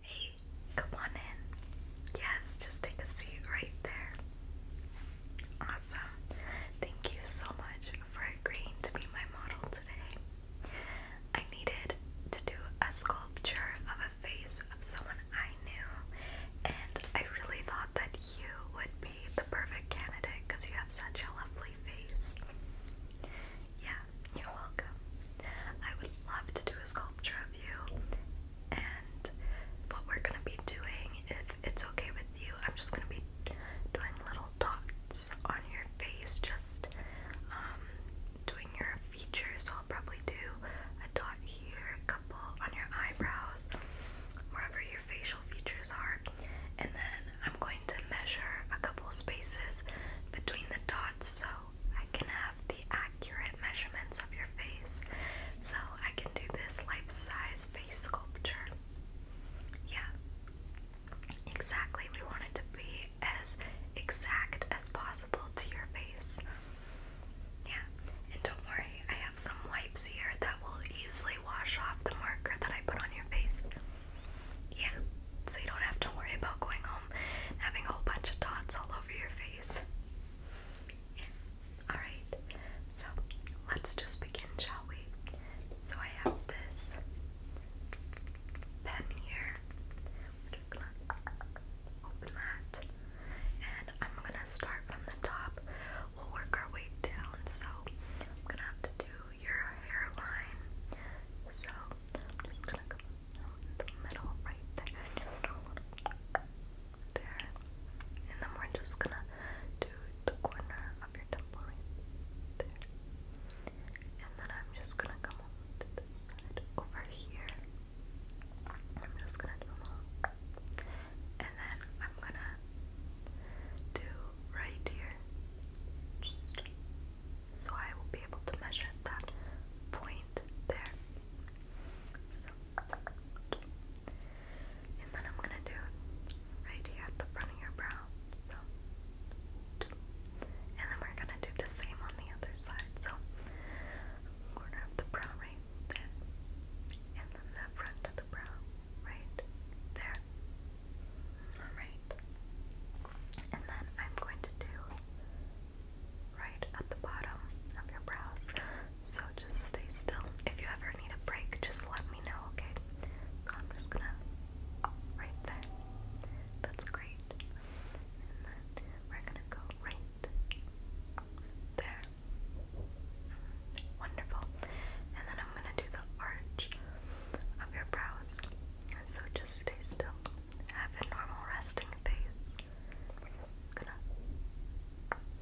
Hey, come on in. Yes, just take a seat right there. Awesome. Thank you so much for agreeing to be my model today. I needed to do a sculpture of a face of someone I knew, and I really thought that you would be the perfect candidate because you have such a lovely face. Yeah, you're welcome. I would love to do a sculpture of you, and what we're gonna be doing, if it's okay with you, I'm just gonna be doing little dots on your face, just um, doing your features. So I'll probably do a dot here, a couple on your eyebrows, wherever your facial features are, and then I'm going to measure a couple spaces between the dots so I can have the accurate measurements of your face. So I can do this life-size face sculpture. Yeah. Exactly. We want it to be as exact as possible to your face. Yeah. And don't worry, I have some wipes here that will easily wash off the marker that I put on your face. Yeah, so you don't have to worry about going home having a whole bunch of dots all over your face. Yeah. Alright, so let's just begin, shall we? So I have this pen here. We're just gonna open that. And I'm gonna start from the top. We'll work our way down. So I'm gonna have to do your hairline. So I'm just gonna come in the middle right there, just a little there. And then we're just gonna do the corner of your temple right there. And then I'm just gonna come over here. I'm just gonna do a little. And then I'm gonna do right here. Just so I will be able to measure that point there. So, and then I'm gonna do right here at the front of your brow. So, and then we're gonna do the same on the other side. So, corner of the brow right there, and then the front of the brow right there. Alright. And then I'm going to do right at the bottom of your brows. So just stay still. If you ever need a break, just let me know, okay? So I'm just gonna right there. That's great. And then we're gonna go right there. Wonderful. And then I'm gonna do the arch of your brows. So just stay still. Have a normal resting pace.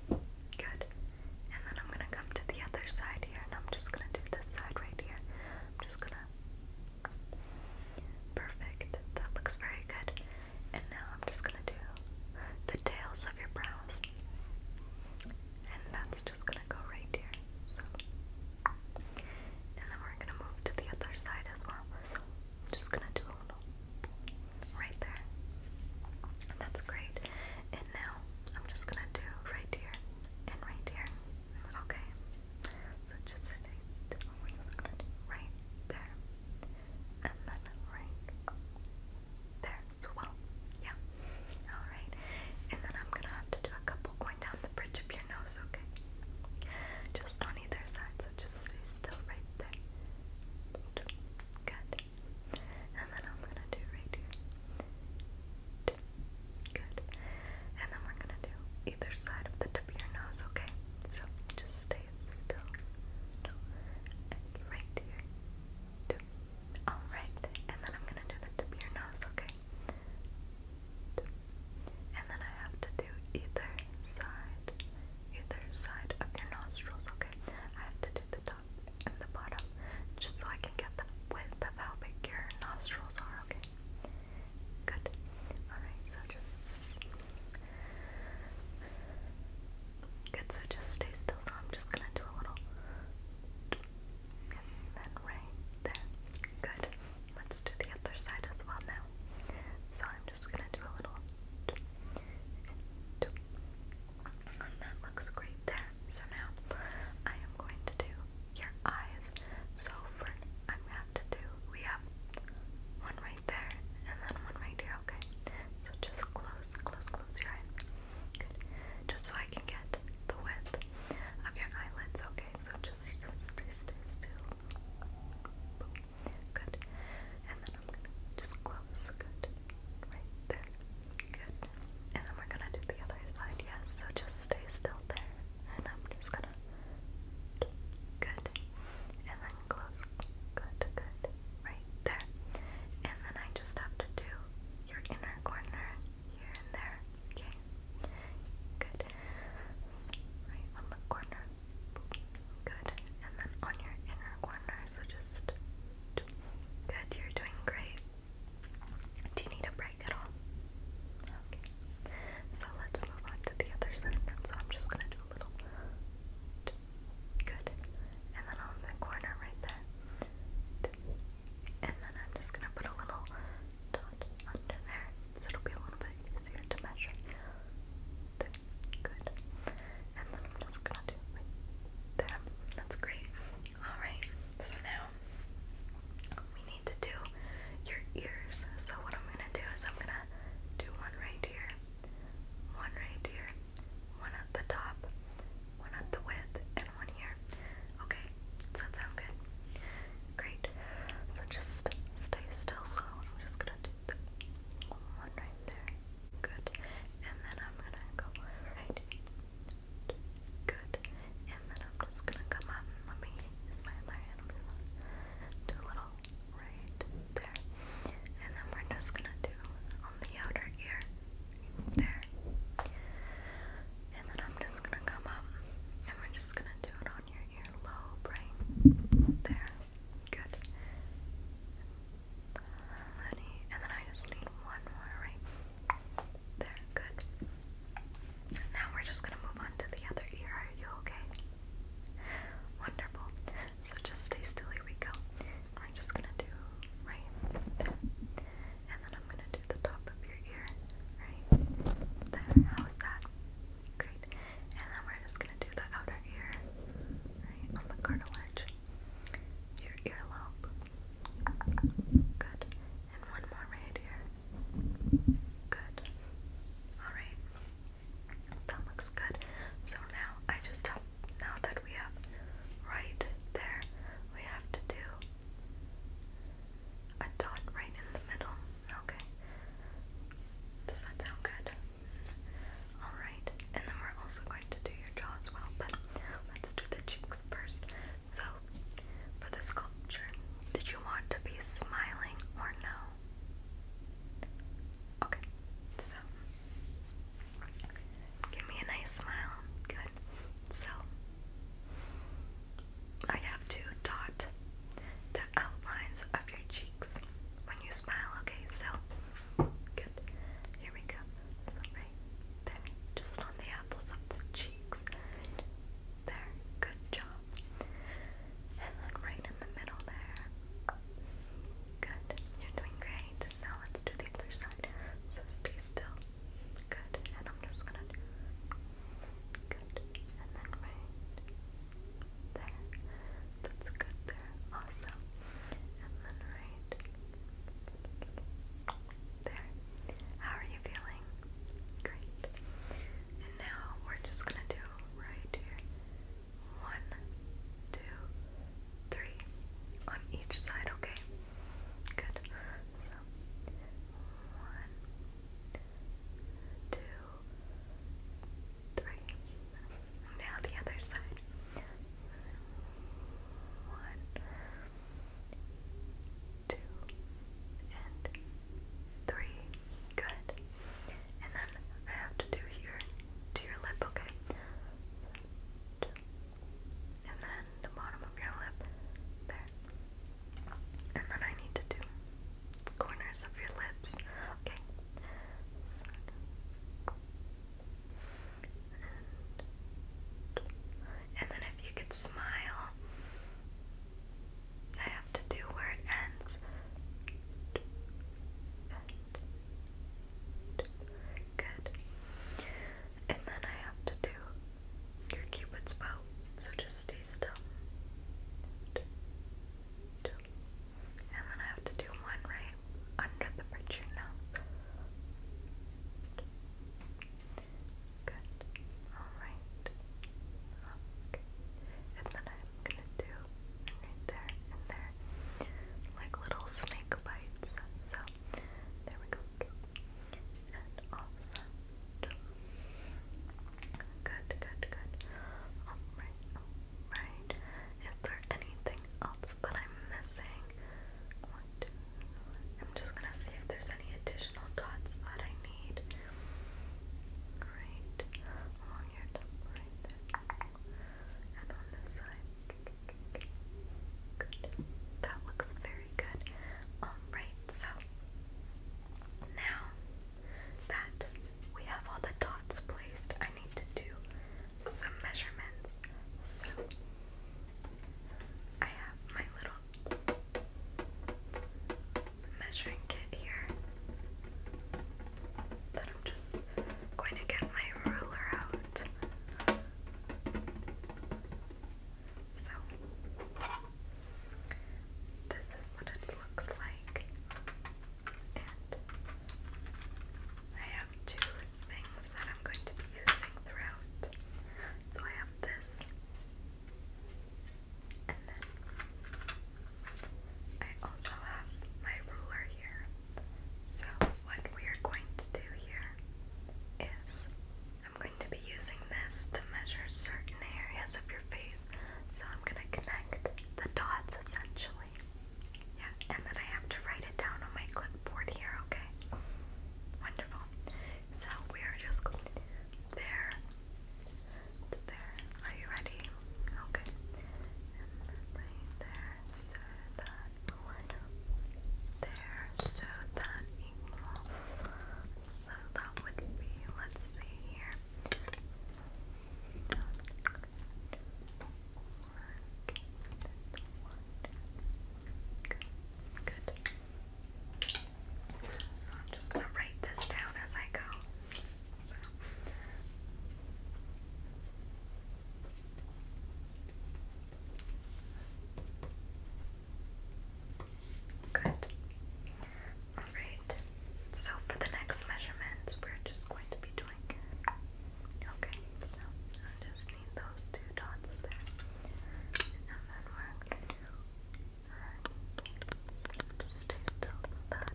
good. And then I'm gonna come to the other side here, and I'm just gonna do this side right here. I'm just gonna perfect. That looks very good. And now I'm just gonna do the tails of your brows. And that's just gonna go right here. So and then we're gonna move to the other side as well. So just gonna do a little right there. That's great. And now I'm just gonna do right here and right here. Okay. So just stay right there. And then right there as well. Yeah alright? And then I'm gonna have to do a couple going down the bridge of your nose, okay? Just on either side, so just stay still right there. Good. And then I'm gonna do right here. Good. And then we're gonna do either side of the tip of your nose, okay? So just stay still. right here. Alright, and then I'm gonna do the tip of your nose, okay? And then I have to do either side, either side of your nostrils, okay? I have to do the top and the bottom just so I can get the width of how big your nostrils are, okay? Good. Alright, so just. Good, so just stay still. So I'm just gonna do a little. And then right there. Good. Let's do the other side as well now. So I'm just gonna do a little and that looks great there. So now I am going to do your eyes. So for I'm gonna do we have one right there and then one right here, okay? So just close, close, close your eye. Good. Just so I can get the width of your eyelids, okay? So just stay, stay still. Good. And then I'm gonna just close. Good. Right there. Good. And then we're gonna do the other side, yes. So just stay still there. And I'm just gonna. Good. And then close. Good, good. Right there. And then I just have to do your inner corner here and there. Okay, good. So right on the corner. Good. And then on your inner corner. So just good. You're doing great. Do you need a break at all? Okay. So let's move on to the other side. So I'm just gonna do a little. Good. And then on the corner right there. And then I'm just gonna put a little dot under there, so it'll be a little bit easier to measure. good. And then I'm just gonna do there. That's great. Alright, so now we need to do your ears. So what I'm gonna do is I'm gonna do one right here, one right here, one at the top, one at the width, one ear. Okay, does that sound good? Great. So just stay still. So I'm just gonna do the one right there. Good. And then I'm gonna go right. Good. And then I'm just gonna come up let me use my other hand. do a little right there. And then we're just gonna do on the outer ear. There. And then I'm just gonna come up and we're just gonna do it on your earlobe, right? There. Good. And and then I just need one more, right? There, good. Now we're just gonna move on to the other ear. Are you okay? Wonderful. So just stay still. Here we go. We're just gonna do right there and then I'm gonna do the top of your ear, right? There, how's that? Great. And then we're just gonna do the outer ear, right, on the cartilage. Your earlobe. Good. And one more right here. Good. Alright. That looks good. So now I just have now that we have right there, we have to do a dot right in the middle. Okay. Does that sound good? Alright. And then we're also going to do your jaw as well, but let's do the cheeks first. So, for the sculpture, did you want to be smiling or no? Okay. So, give me a nice smile. Good. So I have to dot the outlines of your cheeks when you smile, okay? So good. Here we go. right there. Just on the apples of the cheeks. there. Good job. And then right in the middle there. Good. You're doing great. Now let's do the other side. So stay still. Good. And I'm just gonna do good. And then right there. That's good there. Awesome. And then right there. How are you feeling? Great. And now we're just gonna do right here. One, two, three on each side, okay? Good. So one, two, three. Now the other side. One, two, and three. Good. And then I have to do here to your lip, okay? two, and then the bottom of your lip there. And then I need to do corners of your lips. Okay. and, then if you could smile, I have to do where it ends. good. And then I have to do your cupid's bow. So just stay still. And then I have to do one right under the bridge of your Good. Alright. And then I'm gonna do right there and there. Like little snake bites. So there we go. Good, good, good. Alright, alright. Is there anything else that I'm missing? One, two, I'm just gonna see if there's any additional dots that I need. Right along your top right there. And on this side. That looks very good. Alright, so now that we have all the dots placed, I need to do some measurements. So I have my little measuring kit here that I'm just going to get my ruler out. So, this is what it looks like. And I have two things that I'm going to be using throughout. So, I have this, and then I also have my ruler here. So, what we are going to do here is I'm going to be using this to measure certain areas of your face. So, I'm going to connect the dots essentially. Yeah, and then I have to write it down on my clipboard here, okay? Wonderful. So, we are just going to there there. Are you ready? Okay. And right there. So that put one so that equal. So that would be, let's see here. So I'm just gonna write this down as I go. Good. Alright, so for the next measurements, we're just going to be doing. Okay, so I just need those two dots there. And then we're going to do. just still that.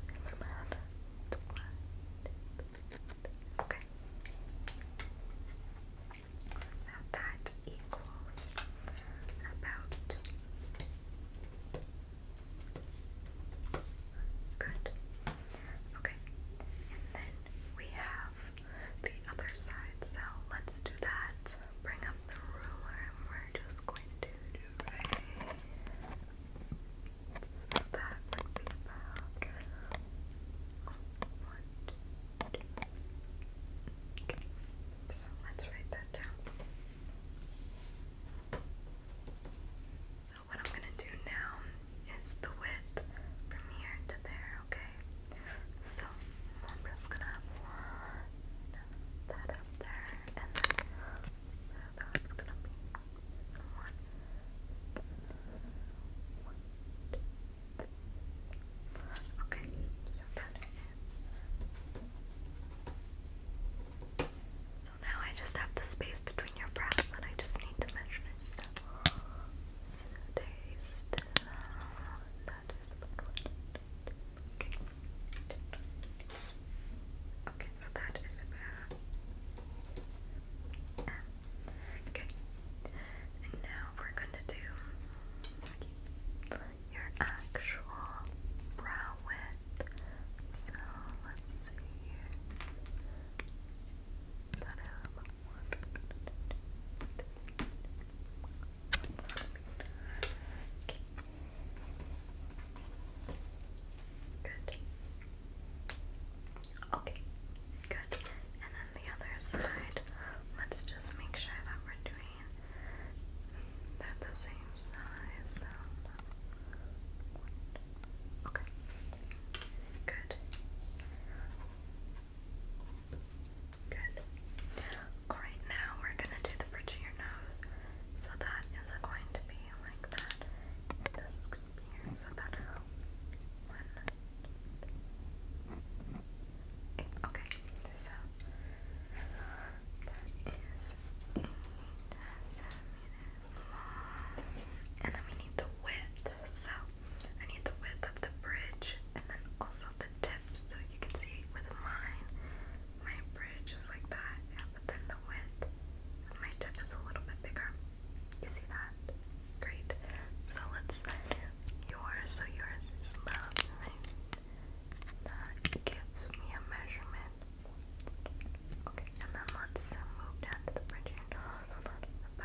Okay. So that equals about good. Okay. And then we have the other side. So let's do that. Bring up the ruler we're just going to do right so that would be about one, so let's write that down. So what I'm gonna do now is the width from here to there, okay? So I'm just gonna line that up there and then so that's Okay, so now I just have the space between your brows that I just need to measure. So stay still. That is about what. Okay. Okay, so that is about M. Okay. And now we're gonna do your actual brow width. So let's see here. That one. Okay. Good. Okay, good. And then the other side, let's just make sure that we're doing, they're the same size. okay, good. Good. Alright, now we're going to do the bridge of your nose. So that is going to be you Okay, so that and then we need the width. So I need the width of the bridge, and then also the tips, so you can see with mine, my bridge is like that but the width my tip is a little bit bigger. You see that? Great. So let's yours. So yours is love. That gives me a measurement. Okay, and then let's move down the bridge about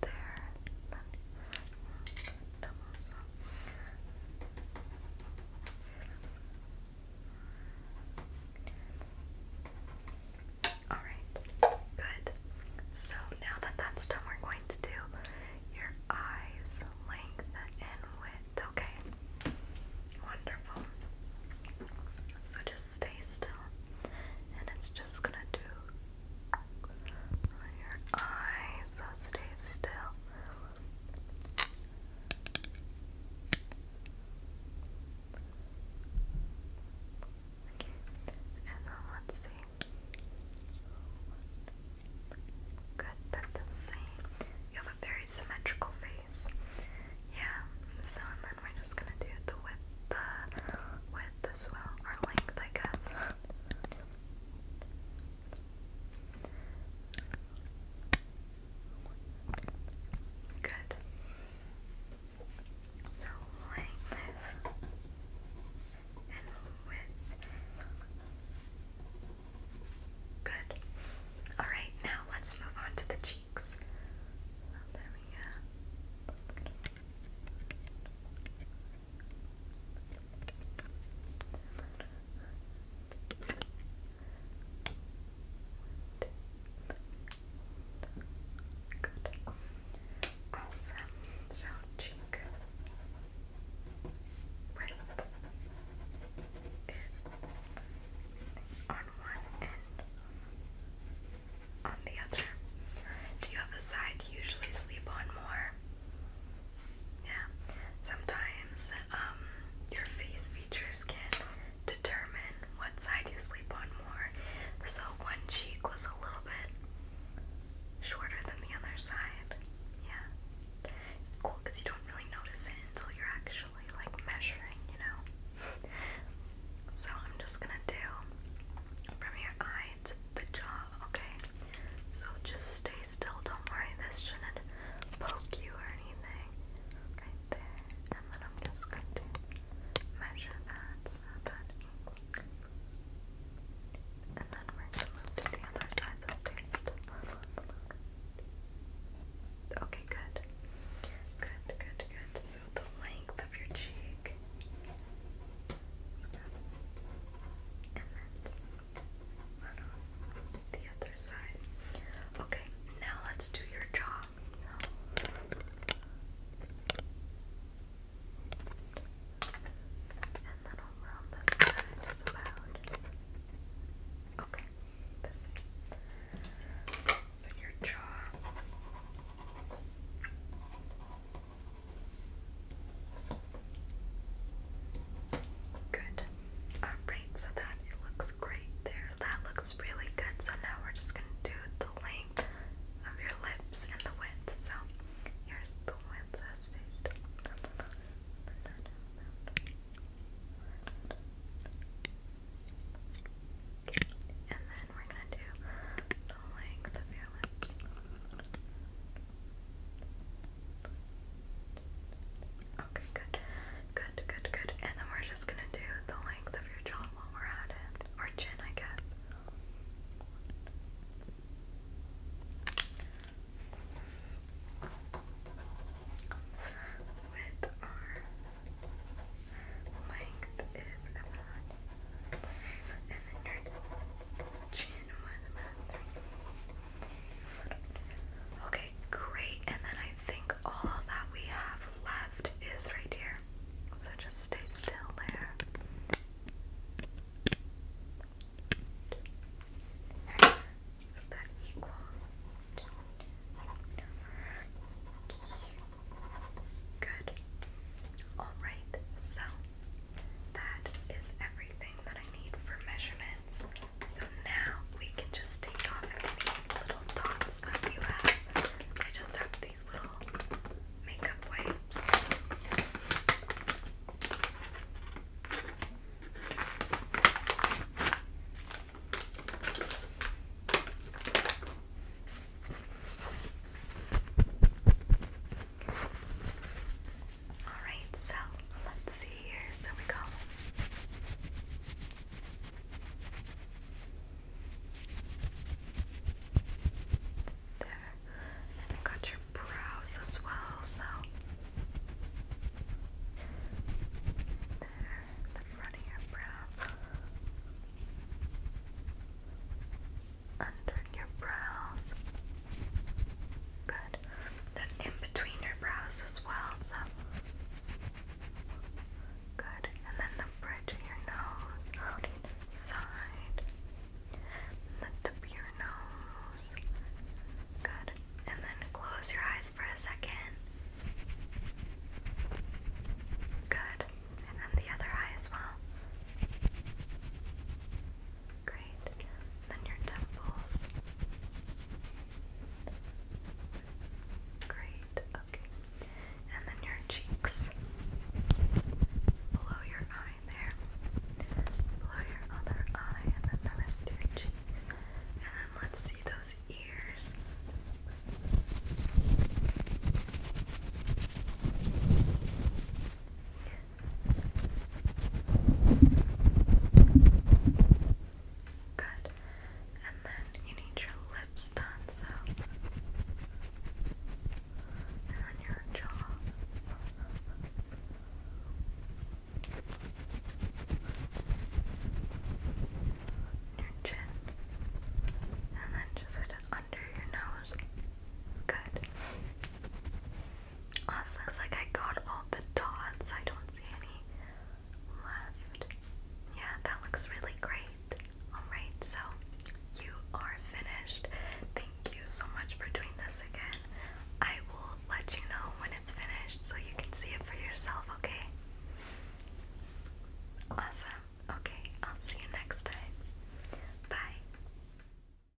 there. Then um, Alright, good. So now that that's done, we're going to do your eyes length and width, okay? Wonderful. So just stay still, and it's just gonna do your eyes, so stay still. And then let's see. Good, they're the same. You have a very symmetrical face. Yeah. So then we're just gonna do the width, the width as well, or length, I guess. Good. So like and with good. Alright, now let's move on to the cheeks. Oh, Good. Awesome. So cheek width is on one end, on the other. Do you have a side you usually sleep on more? Yeah. Sometimes um your face features can determine what side you sleep on more. So one cheek was a little bit shorter than the other side. Yeah. cool because you don't really notice it until you're actually like measuring, you know? so I'm just gonna do from your eye to the jaw, okay? So just stay still, don't worry, this shouldn't poke you or anything right there, and then I'm just going to measure that so And then we're to the other side of the stairs. Okay, good. Good, good, good. So the length of your cheek the other side. Okay, now let's do your jaw. And then over on this side Okay, this way. So your jaw. Good. Alright, so that it looks great there. that looks really good. So now we're just gonna do the length of your lips and the width. So here's the width, so stay still. And then we're gonna do the length of your lips. Okay, good. Good, good, good. And then we're just gonna do the length of your jaw while we're at it. Or chin, I guess. With our length is about and then your chin was about Okay, great. And then I think all that we have left is right here. So just stay still there. So that equals. Good. Alright, so that is everything that I need for measurements. So now we can just take off any little dots that you have. I just have these little makeup wipes. Alright, so let's see here. So we go. There. And I got your brows as well, so there, the front of your brow. Under your brows. Good. Then in between your brows as well, so good. And then the bridge of your nose, side, the tip of your nose. Good. And then close your eyes for a second. Good. And then the other eye as well. Great right? Then your temples. Great, okay. And then your cheeks. Below your eye there. Below your other eye, and then the rest of your cheek. And then let's see those ears. Good. And then you need your lips done, so. And then your jaw. Your chin. And then just under your nose. Good. Awesome. Oh, looks like I got all the dots. I don't see any left. Yeah, that looks really great. Alright, so you are finished. Thank you so much for doing this again. I will let you know when it's finished so you can see it for yourself, okay? Awesome. Okay, I'll see you next time. Bye.